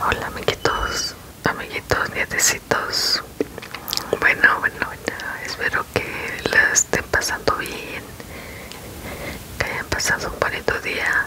Hola amiguitos, amiguitos, nietecitos. Bueno, bueno, bueno, espero que la estén pasando bien, que hayan pasado un bonito día.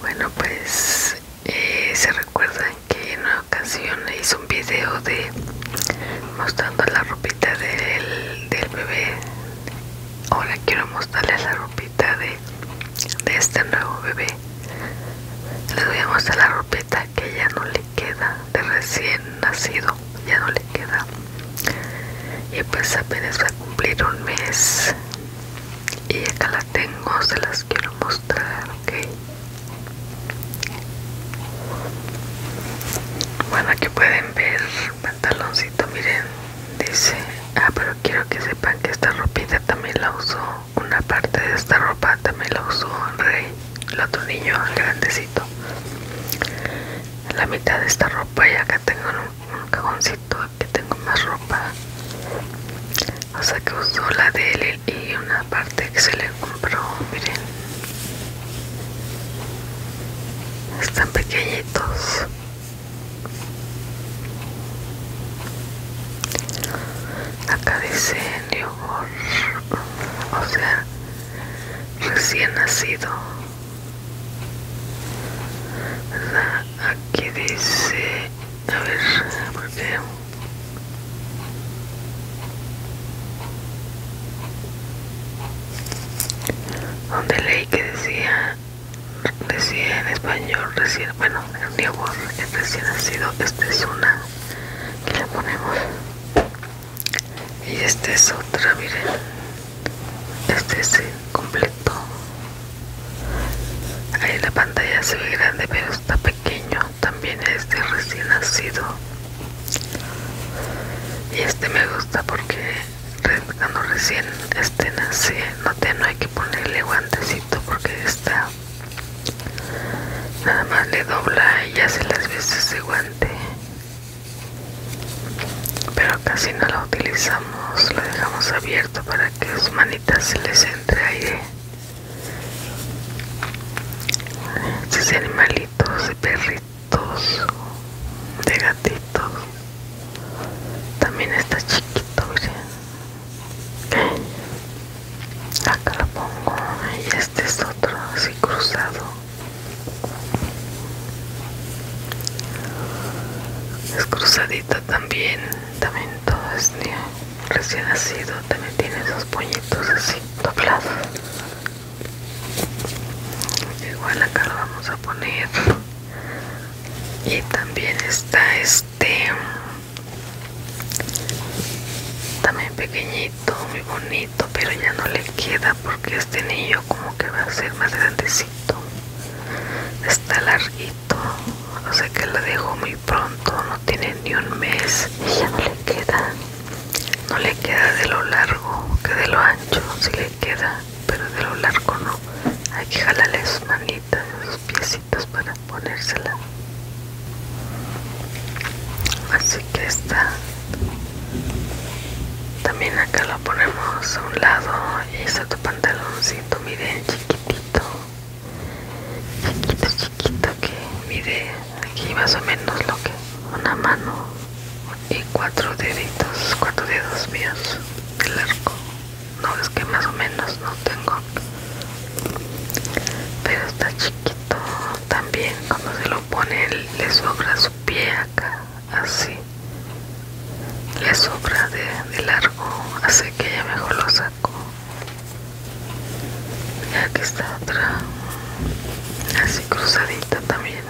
Bueno, pues eh, se recuerdan que en una ocasión hice un video de mostrando la ropita del bebé Hola, quiero mostrarles la ropita de, este nuevo bebé les voy a mostrar la ropita que ya no le queda de recién nacido ya no le queda y pues apenas va a cumplir un mes y acá la tengo se las quiero mostrar ok bueno aquí pueden ver taloncito, miren dice ah pero quiero que sepan que esta ropita también la usó una parte de esta ropa también la usó Rey el otro niño grandecito la mitad de esta ropa y acá tengo un, cajoncito que tengo más ropa o sea que usó la de él y una parte que se le compró miren están pequeñitos Acá dice o sea, recién nacido. ¿Verdad? Aquí dice, a ver, Donde leí que decía recién español, recién, bueno, el newborn, el recién nacido, esta es una que la ponemos y esta es otra, miren, este es el completo, ahí la pantalla se ve grande pero está pequeño, también este recién nacido y este me gusta porque cuando recién este nace no, no hay que ponerle guantecito porque está nada más le dobla y hace las veces de guante pero casi no la utilizamos lo dejamos abierto para que sus manitas se les entre aire estos animalitos de perritos de gatitos también está chiquito, Acá la pongo y este es otro así cruzado. Es cruzadita también, también todo es Recién nacido también tiene esos pollitos así doblados. Igual acá lo vamos a poner y también está este también pequeñito muy bonito pero ya no le queda porque este niño como que va a ser más grandecito está larguito o sea que lo dejo muy pronto no tiene ni un mes y ya no le queda no le queda de lo largo que de lo ancho si le queda pero de lo largo no. Hay que jalarle sus manitas, sus piecitos para ponérsela. Así que está. También acá lo ponemos a un lado y está tu pantaloncito, mire chiquitito. Chiquito, chiquito que mide aquí más o menos lo que una mano y cuatro deditos, cuatro dedos míos de largo no es que más o menos no tengo pero está chiquito también cuando se lo pone le sobra su pie acá así le sobra de, de largo así que ya mejor lo saco y aquí está otra así cruzadita también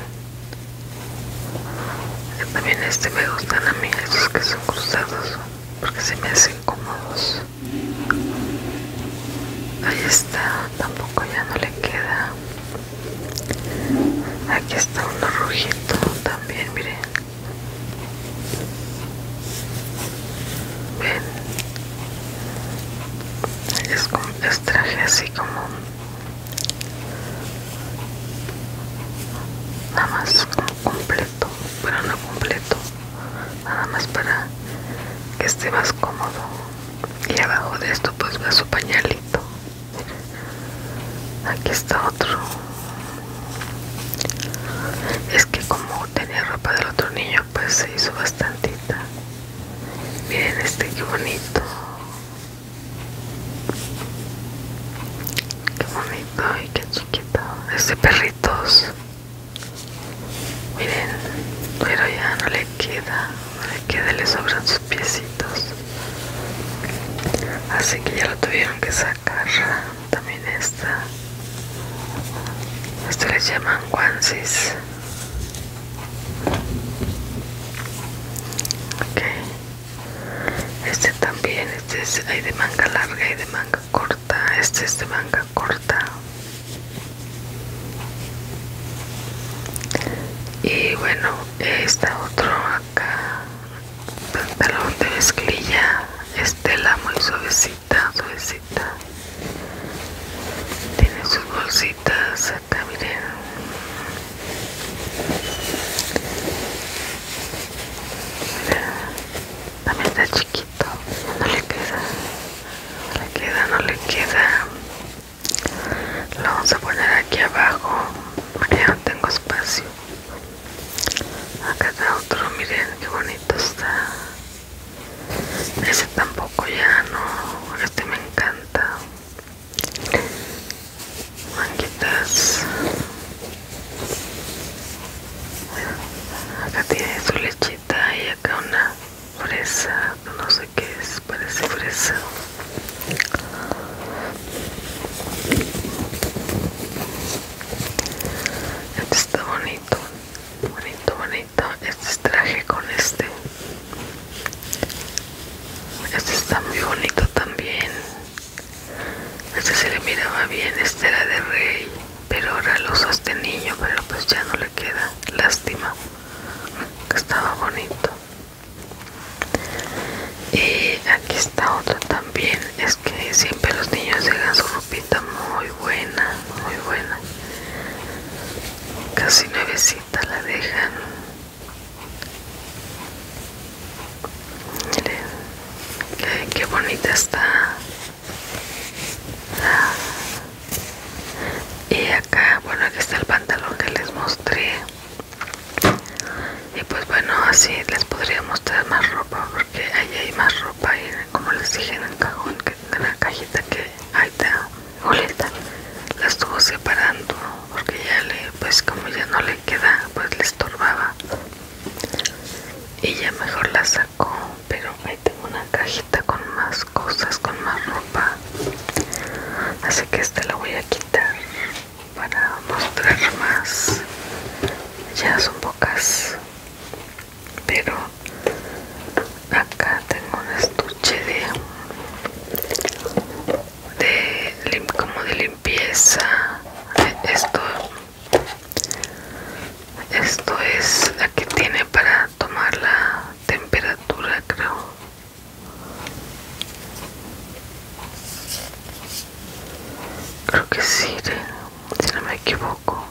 también este me gustan a mí, esos que son cruzados, porque se me hacen cómodos. Ahí está, tampoco ya no le queda. Aquí está uno rojito también, miren. Ven. Es, es traje así como nada más completo pero no completo nada más para que esté más cómodo y abajo de esto pues va su pañalito aquí está otro es que como tenía ropa del otro niño pues se hizo bastantita miren este que bonito Qué bonito y qué chiquito. este perritos. Miren, pero ya no le queda. No le queda, le sobran sus piecitos. Así que ya lo tuvieron que sacar. También esta. Esto les llaman guansis. Este también, este es, de manga larga y de manga corta, este es de manga corta. Y bueno, está otro acá, pantalón de mezclilla, estela muy suavecita, suavecita. Tiene sus bolsitas acá miren también está chiquito no le queda no le queda no le queda lo vamos a poner aquí abajo ya no tengo espacio acá está otro miren qué bonito está ese tampoco ya no este me encanta manguitas acá tiene su lechita y acá una fresa no sé qué es parece fresa este está bonito bonito bonito este traje con este este está muy bonito también. Este se le miraba bien, este era de rey, pero ahora lo este niño pero pues ya no le queda. Lástima, estaba bonito. Y aquí está otro también. Es que siempre los niños llegan su ropita muy buena, muy buena. Casi 900 esta la dejan miren qué, bonita está y acá bueno aquí está el pantalón que les mostré y pues bueno así les podría mostrar más ropa porque ahí hay más ropa y como les dije en el cajón que en la cajita que ahí está Julieta la estuvo separando porque ya le, pues como ya no le queda, pues le estorbaba. Y ya mejor la sacó, pero ahí tengo una cajita con más cosas, con más ropa. Así que esta la voy a quitar para mostrar más. Ya son pocas, pero acá tengo un estuche de, de como de limpieza esto esto es la que tiene para tomar la temperatura creo creo que sí si no me equivoco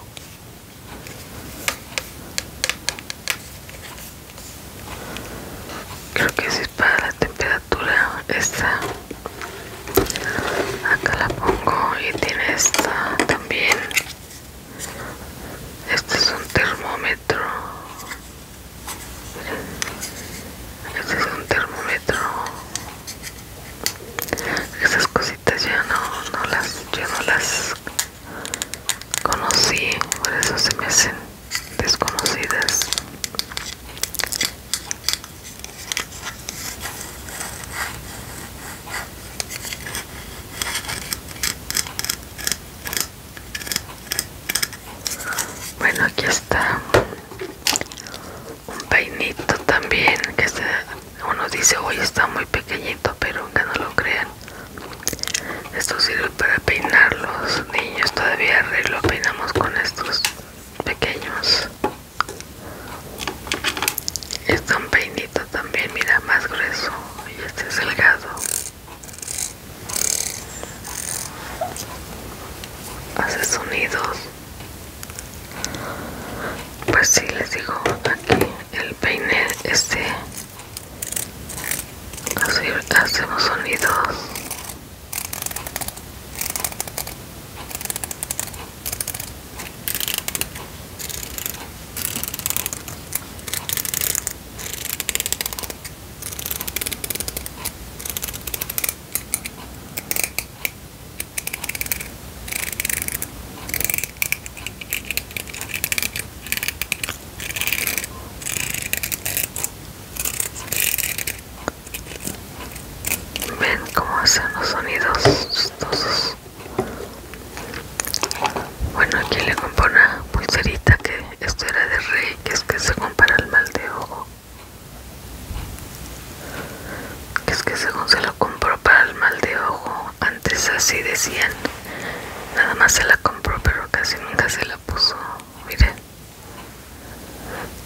creo que si es para la temperatura esta acá la pongo y tiene esta también este es un termómetro este es un termómetro esas cositas ya no, no las Ya no las conocí, por eso se me hacen desconocidas. Bueno, aquí está un peinito también que se uno dice hoy está muy pequeñito pero que no lo crean esto sirve para peinar los niños todavía lo peinamos con estos pequeños está un peinito también mira más grueso y este es delgado hace sonidos pues si sí, les digo aquí el peine este así hacemos sonidos Ven cómo hacen los sonidos Bueno, aquí le compró una pulserita que esto era de rey, que es que se compara el mal de ojo. Que es que según se lo compró para el mal de ojo antes así decían nada más se la compró pero casi nunca se la puso miren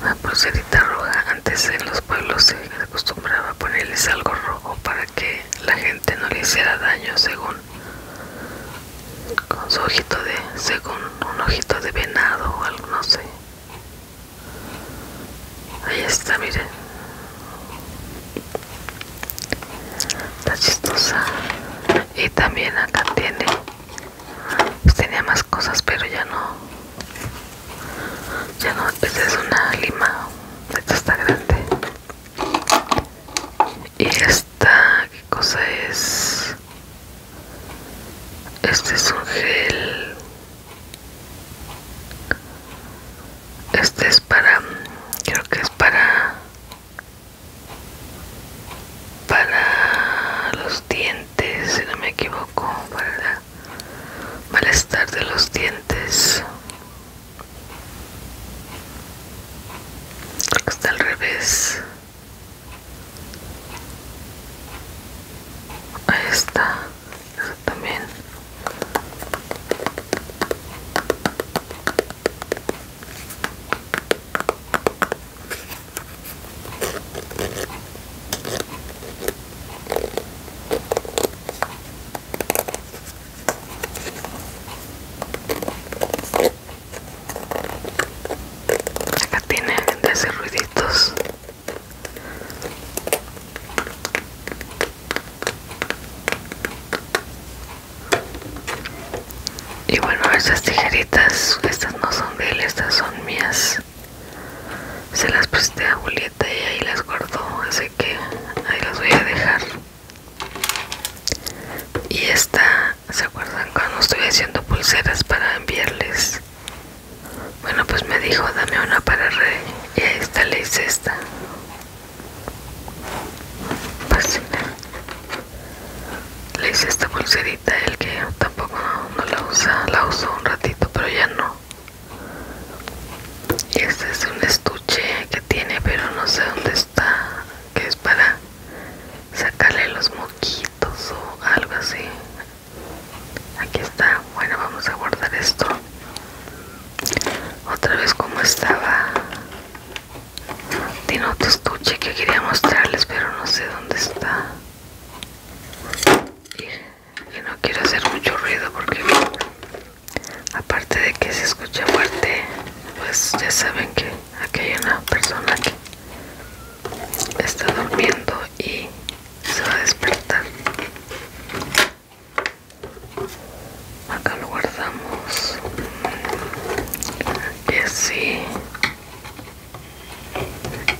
la pulserita roja antes en los pueblos se acostumbraba a ponerles algo rojo para que la gente no le hiciera daño según con su ojito de según un ojito de venado o algo no sé ahí está miren Está chistosa. Y también acá tiene. Pues, tenía más cosas, pero ya no. Ya no. Esta es una lima. Esta está grande. Y esta, ¿qué cosa es? Este es un gel este es para, creo que es para para los dientes, si no me equivoco, para el malestar de los dientes. Está al revés. Ahí está eso también acá tienen de hacer ruiditos y bueno, estas tijeritas, estas no son de él, estas son mías. Se las presté a Julieta y ahí las guardó, así que ahí las voy a dejar. Y esta, ¿se acuerdan cuando estoy haciendo pulseras para enviarles? Bueno, pues me dijo, dame una para rey Y ahí está, le hice esta. Pues, le hice esta bolserita el que tampoco no la usa, la usó un ratito, pero ya no. Y este es un estuche que tiene, pero no sé dónde está, que es para sacarle los moquitos o algo así aquí está bueno vamos a guardar esto otra vez como estaba tiene otro estuche que quería mostrarles pero no sé dónde está y, no quiero hacer mucho ruido porque aparte de que se escucha fuerte pues ya saben que aquí hay una persona que está durmiendo y se va a despertar acá lo guardamos y así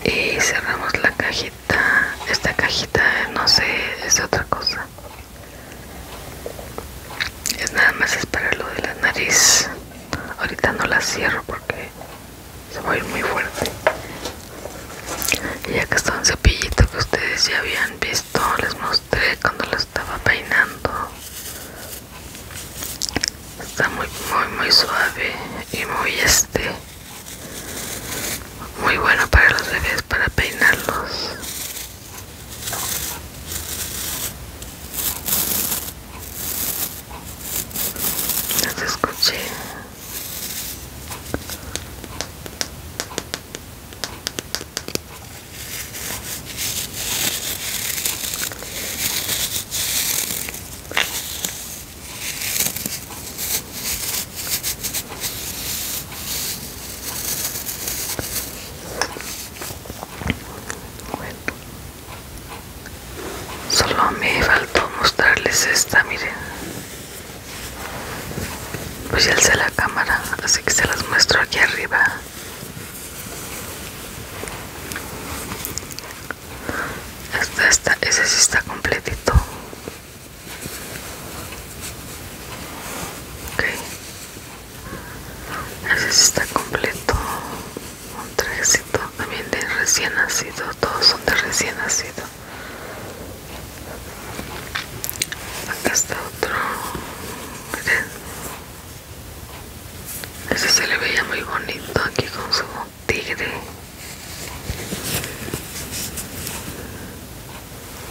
y cerramos la cajita esta cajita no sé es otra cosa es nada más es para lo de la nariz ahorita no la cierro porque se va a ir muy fuerte y que está un cepillito que ustedes ya habían visto les mostré cuando lo estaba peinando está muy muy muy suave y muy este muy bueno para los bebés para peinarlos les escuché solo me faltó mostrarles esta, miren pues sé la cámara así que se las muestro aquí arriba ese sí está completito ok ese sí está completo un trajecito también de recién nacido todos son de recién nacido acá este está otro ese se le veía muy bonito aquí con su tigre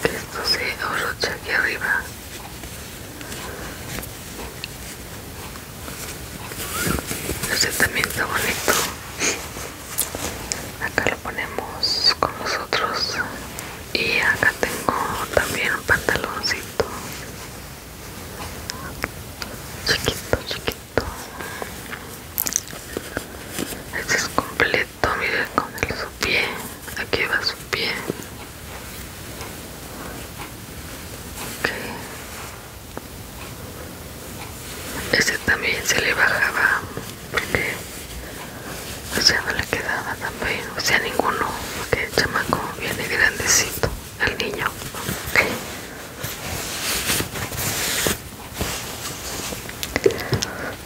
esto se abrocha aquí arriba ese también está bonito acá lo ponemos con nosotros y acá tengo también un pantaloncito chiquito chiquito este es completo miren con el, su pie aquí va su pie okay. Este también se le bajaba porque, o sea, no le quedaba también, o sea, ninguno, porque el chamaco viene grandecito, el niño.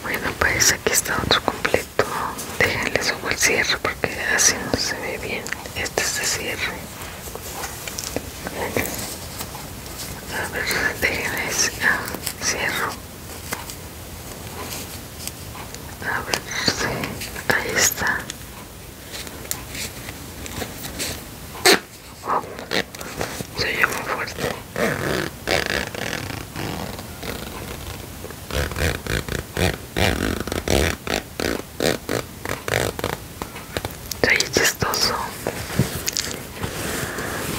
Bueno, pues aquí está otro completo. Déjenle subo el cierre porque así no se ve bien. Este es el cierre. A ver, déjenme cierro. A ver, sí, ahí está. se oye fuerte ahí chistoso.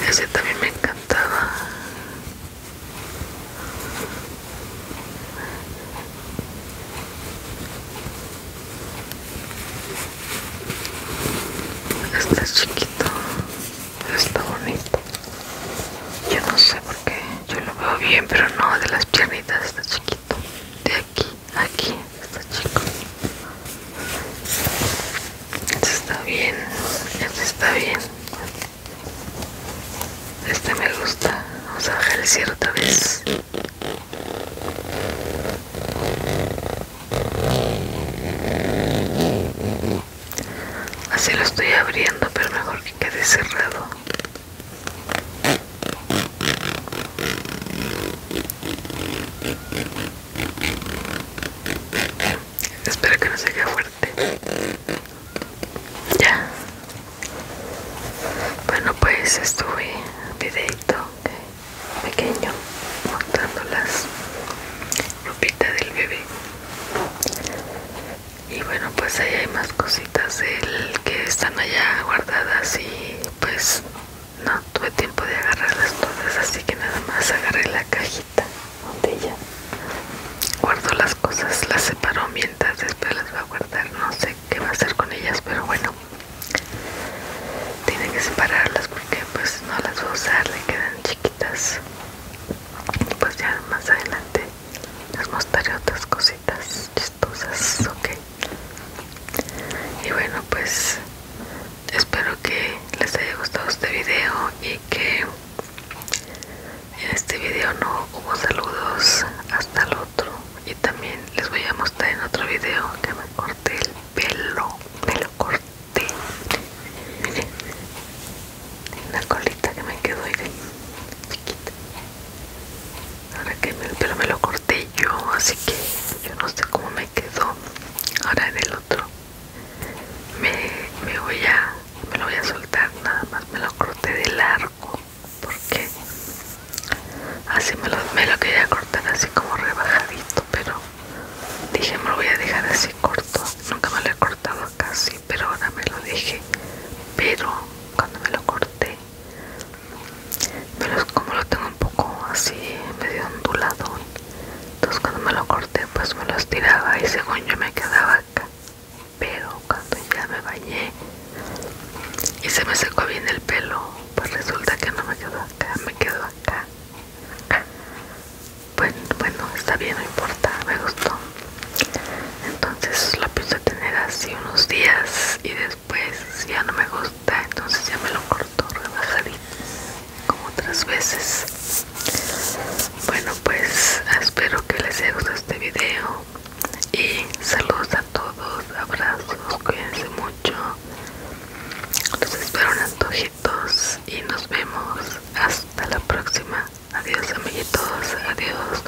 Ese también me encantaba. Está chiquito, está bonito. Yo no sé por qué, yo lo veo bien, pero no, de las piernitas está chiquito. De aquí aquí está chico este está bien este está bien este me gusta vamos a bajar el cierre otra vez así lo estoy abriendo pero mejor que quede cerrado Espero que no se quede fuerte. Ya. Bueno, pues estuve videito pequeño montando las ropitas del bebé. Y bueno, pues ahí hay más cositas que están allá guardadas y pues no tuve tiempo de agarrarlas todas así que nada más agarré la cajita donde ella guardo las cosas las separó mientras después las va a guardar no sé qué va a hacer con ellas pero bueno tiene que separarlas porque pues no las va a usar le quedan chiquitas pues ya más adelante les mostraré otras cositas cosas, ok. Y bueno, pues espero que les haya gustado este video y que en este video no hubo saludos hasta el otro. Y también les voy a mostrar en otro video que me corté el pelo, me lo corté. Miren, una colita que me quedó, ahí. chiquita. Ahora que el pelo me lo corté yo, así que yo no sé cómo me quedó. Ahora en el otro me, voy a me lo voy a soltar nada más, me lo corté de largo porque así me lo, me lo quería cortar así como rebajadito, pero dije me lo voy a dejar así corto, nunca me lo he cortado casi, pero ahora me lo dejé, pero cuando me lo corté pero es como lo tengo un poco así medio ondulado entonces cuando me lo corté pues me lo estiraba y según yo me quedaba acá pero cuando ya me bañé y se me secó bien el pelo pues resulta que no me quedó acá me quedó acá bueno, bueno, está bien, no importa, me gustó. Entonces lo puse a tener así unos días y después pues ya no me gusta entonces ya me lo corto rebajaré, como otras veces bueno pues espero que les haya gustado este video y saludos a todos abrazos cuídense mucho los espero un antojitos y nos vemos hasta la próxima adiós amiguitos adiós